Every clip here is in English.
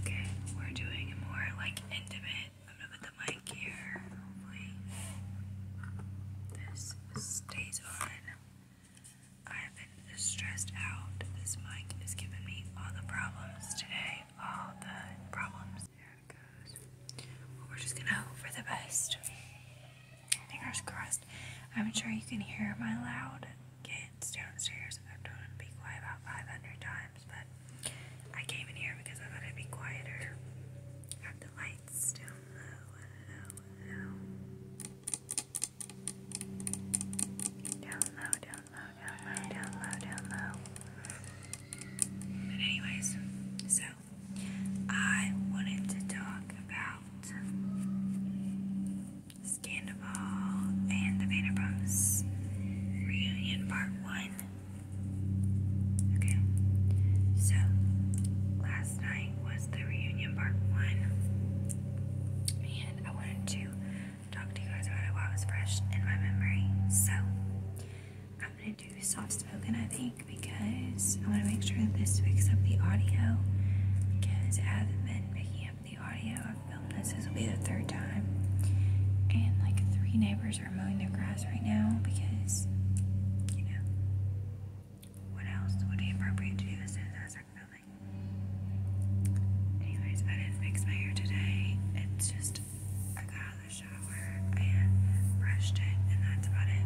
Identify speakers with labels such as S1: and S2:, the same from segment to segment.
S1: Okay, we're doing more like intimate. I'm gonna put the mic here. this stays on. I've been stressed out. This mic is giving me all the problems today. All the problems. There it goes. we're just gonna hope for the best. Fingers crossed. I'm sure you can hear my loud kids downstairs. I've told them to be quiet about 500 times, but I came in here because I thought it'd be quieter. Have the lights Down low, down low, down low, down low, down low. But anyways, so I wanted to talk about Scandival and the Vanderpumps Reunion Part 1. Okay, so last night was the reunion Part 1, and I wanted to talk to you guys about it while was fresh in my memory. So I'm gonna do soft spoken, I think, because I want to make sure this picks up the audio because I've not been picking the audio. I've filmed this. This will be the third time. And like three neighbors are mowing their grass right now because, you know, what else would be appropriate to do as as I start filming? Anyways, I didn't fix my hair today. It's just, I got out of the shower and brushed it, and that's about it.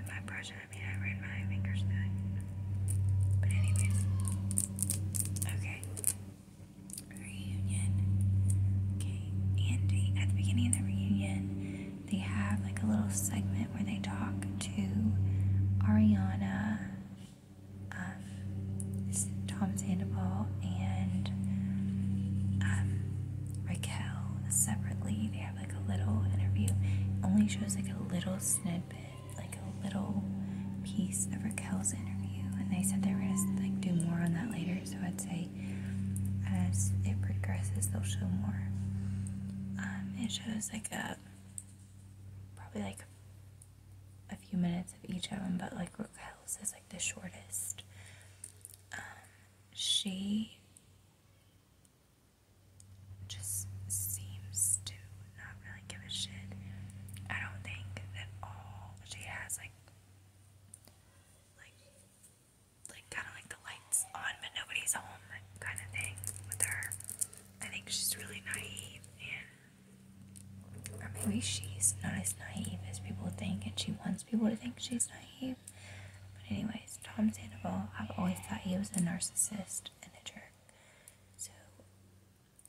S1: And by brushing, I mean I ran my fingers through it. But anyways, okay. Reunion. Okay, and they, at the beginning of the reunion, they have like a little segment where they talk to Ariana, um, Thomas, and Sandoval, and um, Raquel separately. They have like a little interview. only shows like a little snippet like a little piece of Raquel's interview, and they said they were gonna like do more on that later. So I'd say as it progresses, they'll show more. Um, it shows like a probably like a few minutes of each of them, but like Raquel's is like the shortest. Um, she just seems to not really give a shit. I don't think that all she has like like like kinda like the lights on but nobody's home kind of thing with her. I think she's really naive and or maybe she's not as naive as people think and she wants people to think she's naive. But anyways, Tom Sandoval, I've always thought he was a narcissist and a jerk. So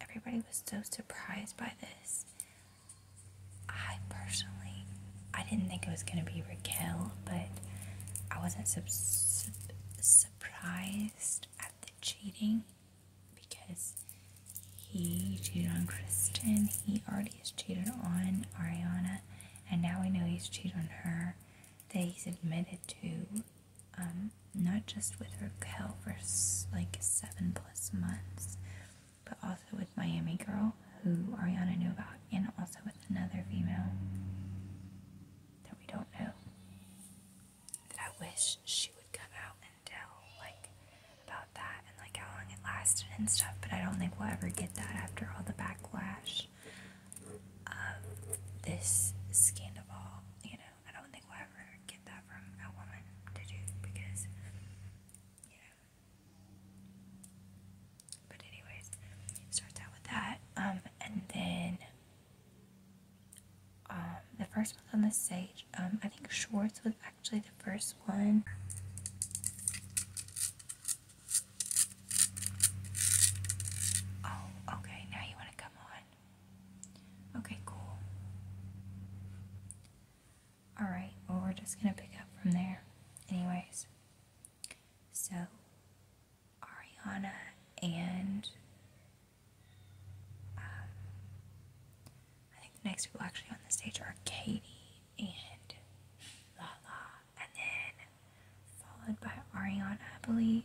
S1: Everybody was so surprised by this. I personally, I didn't think it was going to be Raquel, but I wasn't sub surprised at the cheating because he cheated on Kristen. He already has cheated on Ariana, and now we know he's cheated on her that he's admitted to. Um, not just with Raquel for like seven plus months, but also with Miami Girl, who Ariana knew about, and also with another female that we don't know. That I wish she would come out and tell, like, about that and, like, how long it lasted and stuff, but I don't think we'll ever get that after all the backlash of this scandal, you know. I don't think we'll ever get that from a woman to do because, you know. But anyways, starts out with that, um, and then um, the first one on the stage. Um, I think Schwartz was actually the first one. Oh, okay. Now you want to come on. Okay, cool. Alright, well, we're just gonna pick up from there, anyways. So, Ariana and. Um, I think the next people actually on the stage are Katie and Lala, and then followed by Ariana, I believe,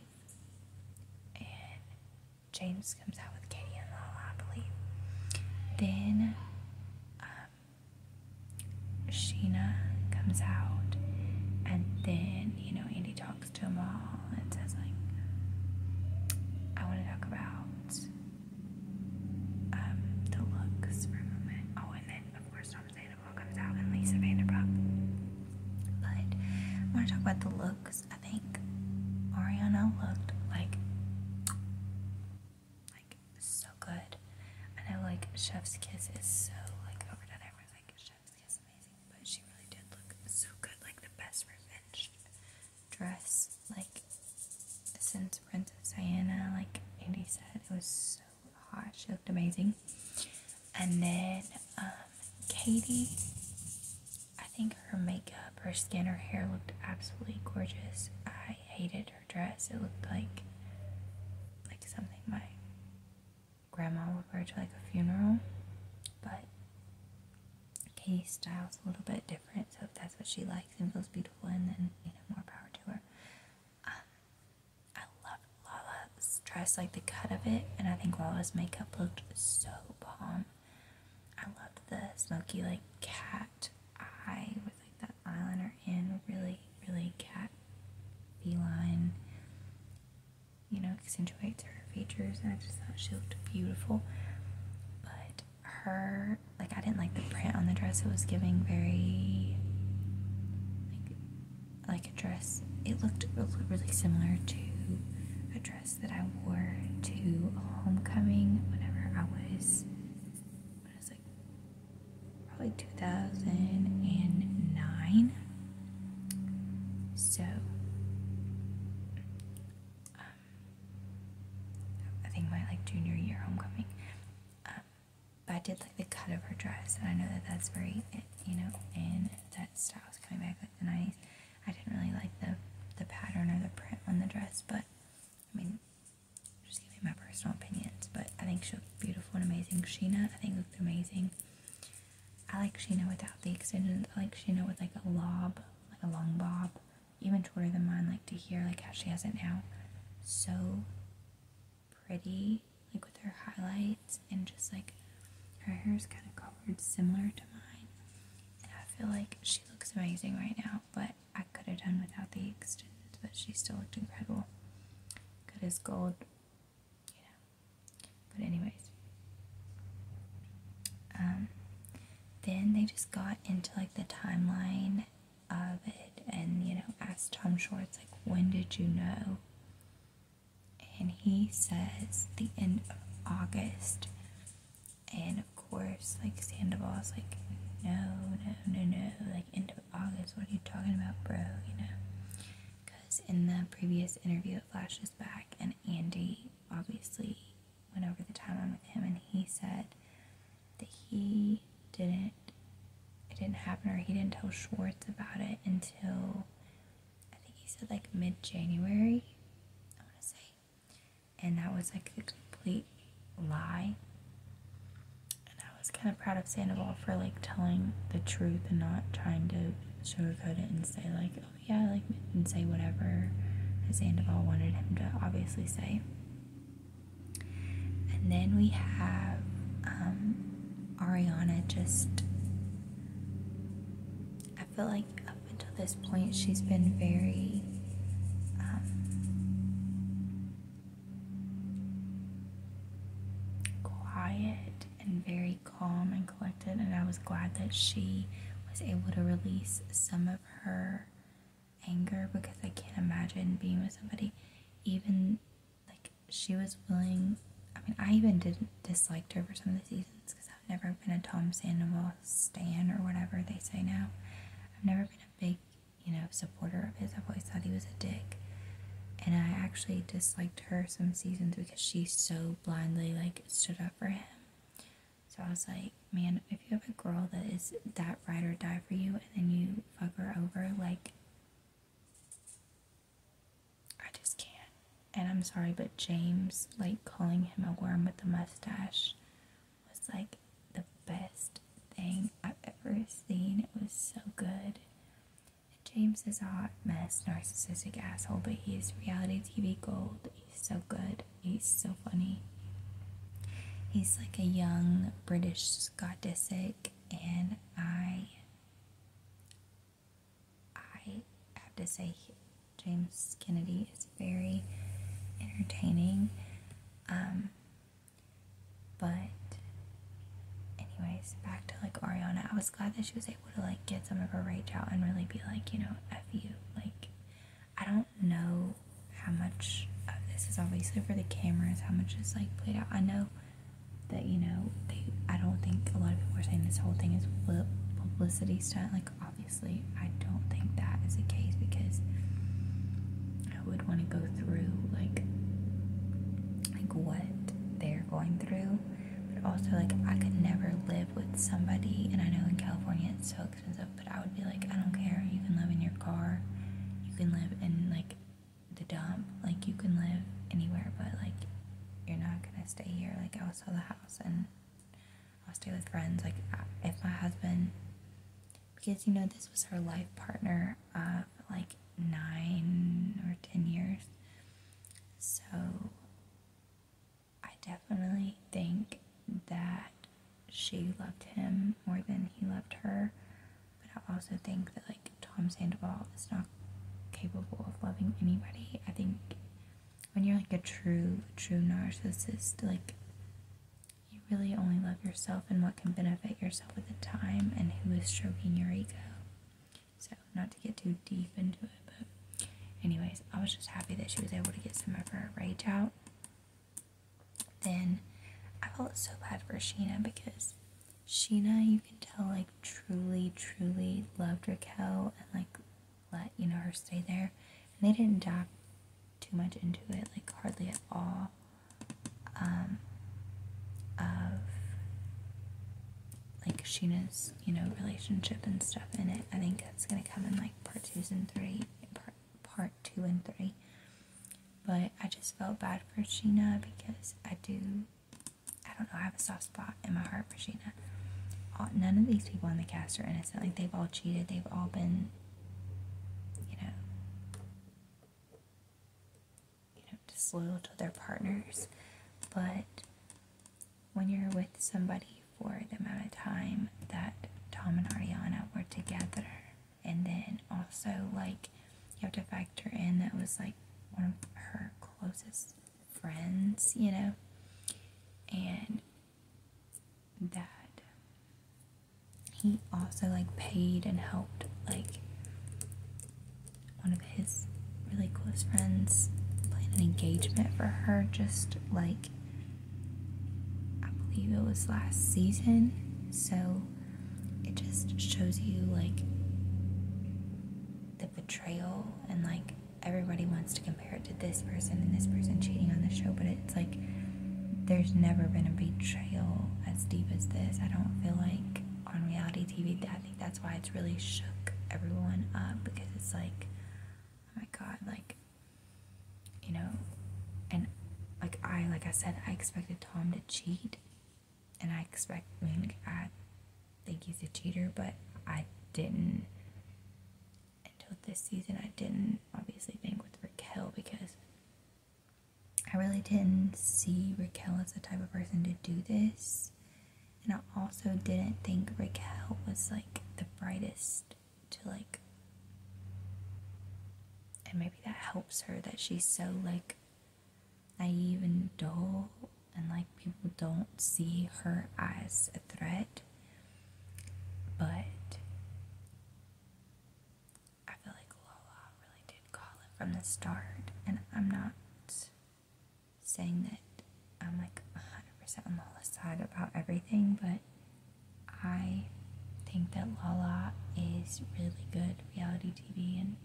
S1: James comes out with Katie and Lala, I believe. Then um, Sheena comes out, and then you know Andy talks to them all and says like, "I want to talk about um, the looks for a moment." Oh, and then of course Tom Sandoval comes out and Lisa Vanderpump. But I want to talk about the looks I think Ariana looked like like so good. and I like Chef's Kiss is so like overdone. Everyone's like Chef's Kiss amazing, but she really did look so good, like the best revenge dress, like since Princess Diana, like Andy said, it was so hot. She looked amazing. And then um Katie I think her makeup, her skin, her hair looked absolutely gorgeous. I hated her dress. It looked like like something my grandma would wear to like a funeral. But Katie's style's a little bit different, so if that's what she likes and feels beautiful and then you know more power to her. Um, I love Lala's dress, like the cut of it, and I think Lala's makeup looked so bomb. I loved the smoky like cat eye with like that eyeliner in really really cat feline you know accentuates her features I just thought she looked beautiful but her like I didn't like the print on the dress it was giving very like like a dress it looked really similar to a dress that I wore to homecoming whenever I was, I was like probably 2009. So, um, I think my like junior year homecoming. Um, but I did like the cut of her dress, and I know that that's very, you know, in that style is coming back like the 90s. I didn't really like the the pattern or the print on the dress, but I mean, just giving my personal opinions. But I think she looked beautiful and amazing. Sheena, I think looked amazing. I like Sheena without the extensions. I like Sheena with like a lob, like a long bob, even shorter than mine. Like to hear like how she has it now. So pretty, like with her highlights and just like her hair is kind of colored similar to mine. I feel like she looks amazing right now, but I could have done without the extensions, but she still looked incredible. Good as gold, you know. But anyways. Um, then they just got into like the timeline of it and you know asked Tom Schwartz like when did you know? And he says the end of August and of course, like Sandoval's like, no, no, no, no, like end of August. What are you talking about, bro? You know, because in the previous interview, it flashes back, and Andy obviously went over the timeline with him, and he said that he didn't, it didn't happen, or he didn't tell Schwartz about it until I think he said like mid January. I want to say and that was like a complete lie. And I was kind of proud of Sandoval for like telling the truth and not trying to sugarcoat it and say like, oh yeah, like and say whatever Sandoval wanted him to obviously say. And then we have um, Ariana just. I feel like until this point, she's been very um, quiet and very calm and collected, and I was glad that she was able to release some of her anger because I can't imagine being with somebody even like she was willing I mean I even didn't disliked her for some of the seasons because I've never been a Tom Sandoval stan or whatever they say now. I've never been a big, you know, supporter of his. I've always thought he was a dick. And I actually disliked her some seasons because she so blindly like stood up for him. So I was like, man, if you have a girl that is that ride or die for you and then you fuck her over, like I just can't and I'm sorry, but James, like calling him a worm with a mustache, was like the best thing I've ever seen. It was so good. James is a hot mess, narcissistic asshole, but he's reality TV gold. He's so good. He's so funny. He's like a young British Scott Disick, and I, I have to say, James Kennedy is very entertaining. Um, but, anyways, back to like Ariana. I was glad that she was able to like get some of her rage out and really be like, you know, F you. Like, I don't know how much of this is obviously for the cameras, how much is like played out. I know that, you know, they, I don't think a lot of people are saying this whole thing is publicity stunt. Like, obviously i don't think that is the case because i would want to go through like like what they're going through but also like i could never live with somebody and i know in california it's so expensive but i would be like i don't care you can live in your car you can live in like the dump like you can live anywhere but like you're not gonna stay here like i will sell the house and I'll stay with friends. Like, uh, if my husband, because you know, this was her life partner uh, of like nine or ten years. So, I definitely think that she loved him more than he loved her. But I also think that, like, Tom Sandoval is not capable of loving anybody. I think when you're like a true, true narcissist, like you really only love yourself and what can benefit yourself at the time and who is stroking your ego. So, not to get too deep into it, but anyways, I was just happy that she was able to get some of her rage out. Then I felt so bad for Sheena because Sheena, you can tell, like, truly, truly loved Raquel and, like, let you know her stay there, and they didn't dive too much into it, like hardly at all. Um, of like Sheena's, you know, relationship and stuff in it. I think that's gonna come in like part two and three, part part two and three. But I just felt bad for Sheena because I do, I don't know, I have a soft spot in my heart part none of these people in the cast are innocent. Like they've all cheated. They've all been, you know, you know, disloyal to their partners. But when you're with somebody for the amount of time that Tom and Ariana were together, and then also like you have to factor in that was like one of her closest friends, you know, and dad he also like paid and helped like one of his really close friends plan an engagement for her just like I believe it was last season so it just shows you like the betrayal and like everybody wants to compare it to this person and this person cheating on the show, but it's like there's never been a betrayal as deep as this. I don't feel like on reality TV, I think that's why it's really shook everyone up because it's like, oh my god, like, you know, and like I, like I said, I expected Tom to cheat, and I expect, mean, I think he's a cheater, but I didn't until this season, I didn't obviously think with Raquel because I really didn't see Raquel as the type of person to do this. And I also didn't think Raquel was like the brightest to like. And maybe that helps her that she's so like naive and dull, and like people don't see her as a threat. But I feel like Lola really did call it from the start, and I'm not saying that I'm like 100% on Lola's side about everything, but I think that Lala is really good reality TV, and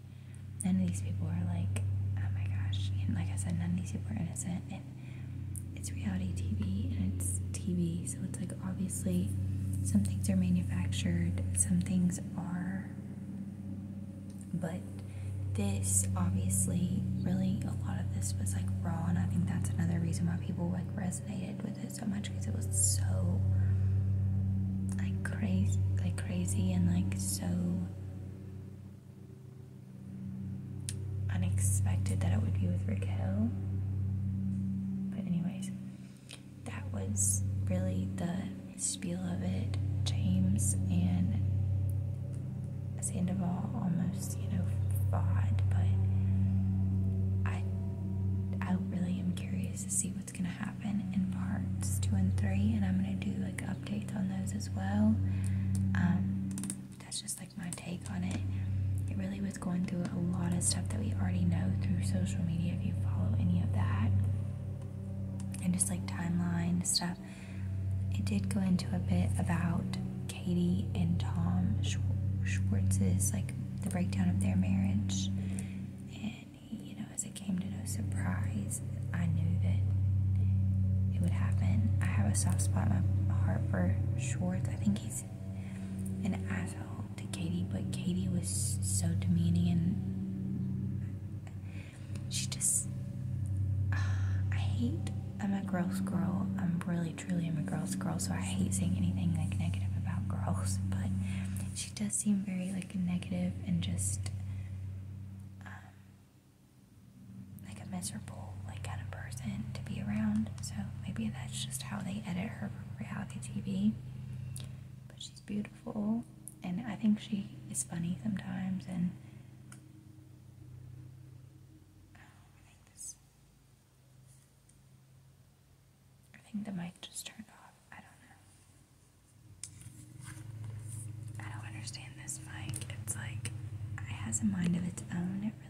S1: none of these people are like, oh my gosh, and like I said, none of these people are innocent, it's reality TV and it's TV, so it's like obviously some things are manufactured, some things are, but this obviously really a lot of this was like raw, and I think that's another reason why people like resonated with it so much because it was so like crazy, like crazy, and like so unexpected that it would be with Rick Hill. But, anyways, that was really the spiel of it. James and Sandoval almost, you know, fought, but I, I really am curious to see what's going to happen in parts two and three, and I'm going to do like updates on those as well. Um, that's just like my take on it. It really was going through a lot of stuff that we already know through social media if you follow any of that. And just like timeline stuff. It did go into a bit about Katie and Tom Schwartz's, like the breakdown of their marriage. And, you know, as it came to no surprise, I knew that it would happen. I have a soft spot in my heart for Schwartz. I think he's an asshole to Katie, but Katie was so demeaning and she just. I hate. I'm a girl's girl. I'm really, truly, I'm a girl's girl, so I hate saying anything like negative about girls, but she does seem very like negative and just. Um, like a miserable like kind of person to be around. So maybe that's just how they edit her reality TV. But she's beautiful and I think she is funny sometimes and I think this I think the mic just turned off. I don't know. I don't understand this mic. It's like it has a mind of its own. It really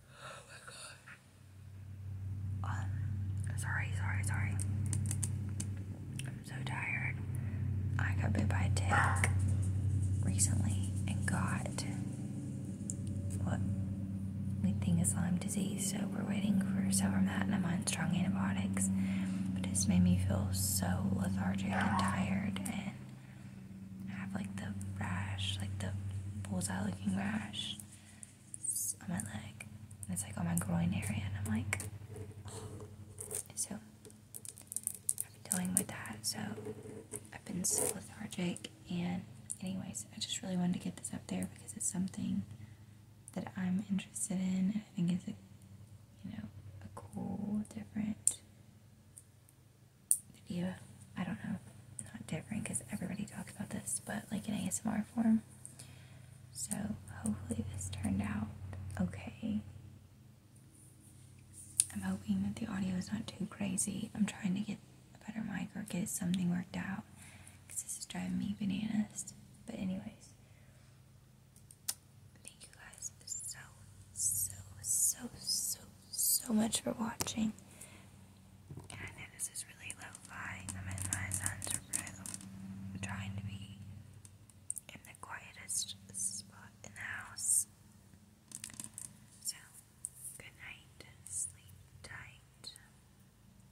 S1: Oh uh, my god. sorry, sorry, sorry. I'm so tired. I got bit by a tick recently and got what we think is Lyme disease, so we're waiting for silvermatin and I'm on strong antibiotics. But it's made me feel so lethargic and tired and have like the rash, like the bullseye looking rash on my leg. And it's like on my groin area, and I'm like, so I've been dealing with that. So I've been so lethargic. And, anyways, I just really wanted to get this up there because it's something that I'm interested in, and I think it's a, you know, a cool, different you, I don't know, not different because everybody talks about this, but like in ASMR form. So hopefully this turned out okay. I'm hoping that the audio is not too crazy. I'm trying to get a better mic or get something worked out because this is driving me bananas. But anyways, thank you guys so, so, so, so so much for watching. I know this is really lo-fi. I mean, my sons are trying to be in the quietest spot in the house. So, good night. Sleep tight.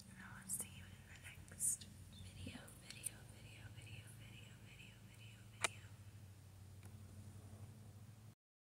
S1: And I will see you in the next video, video, video, video, video, video, video, video.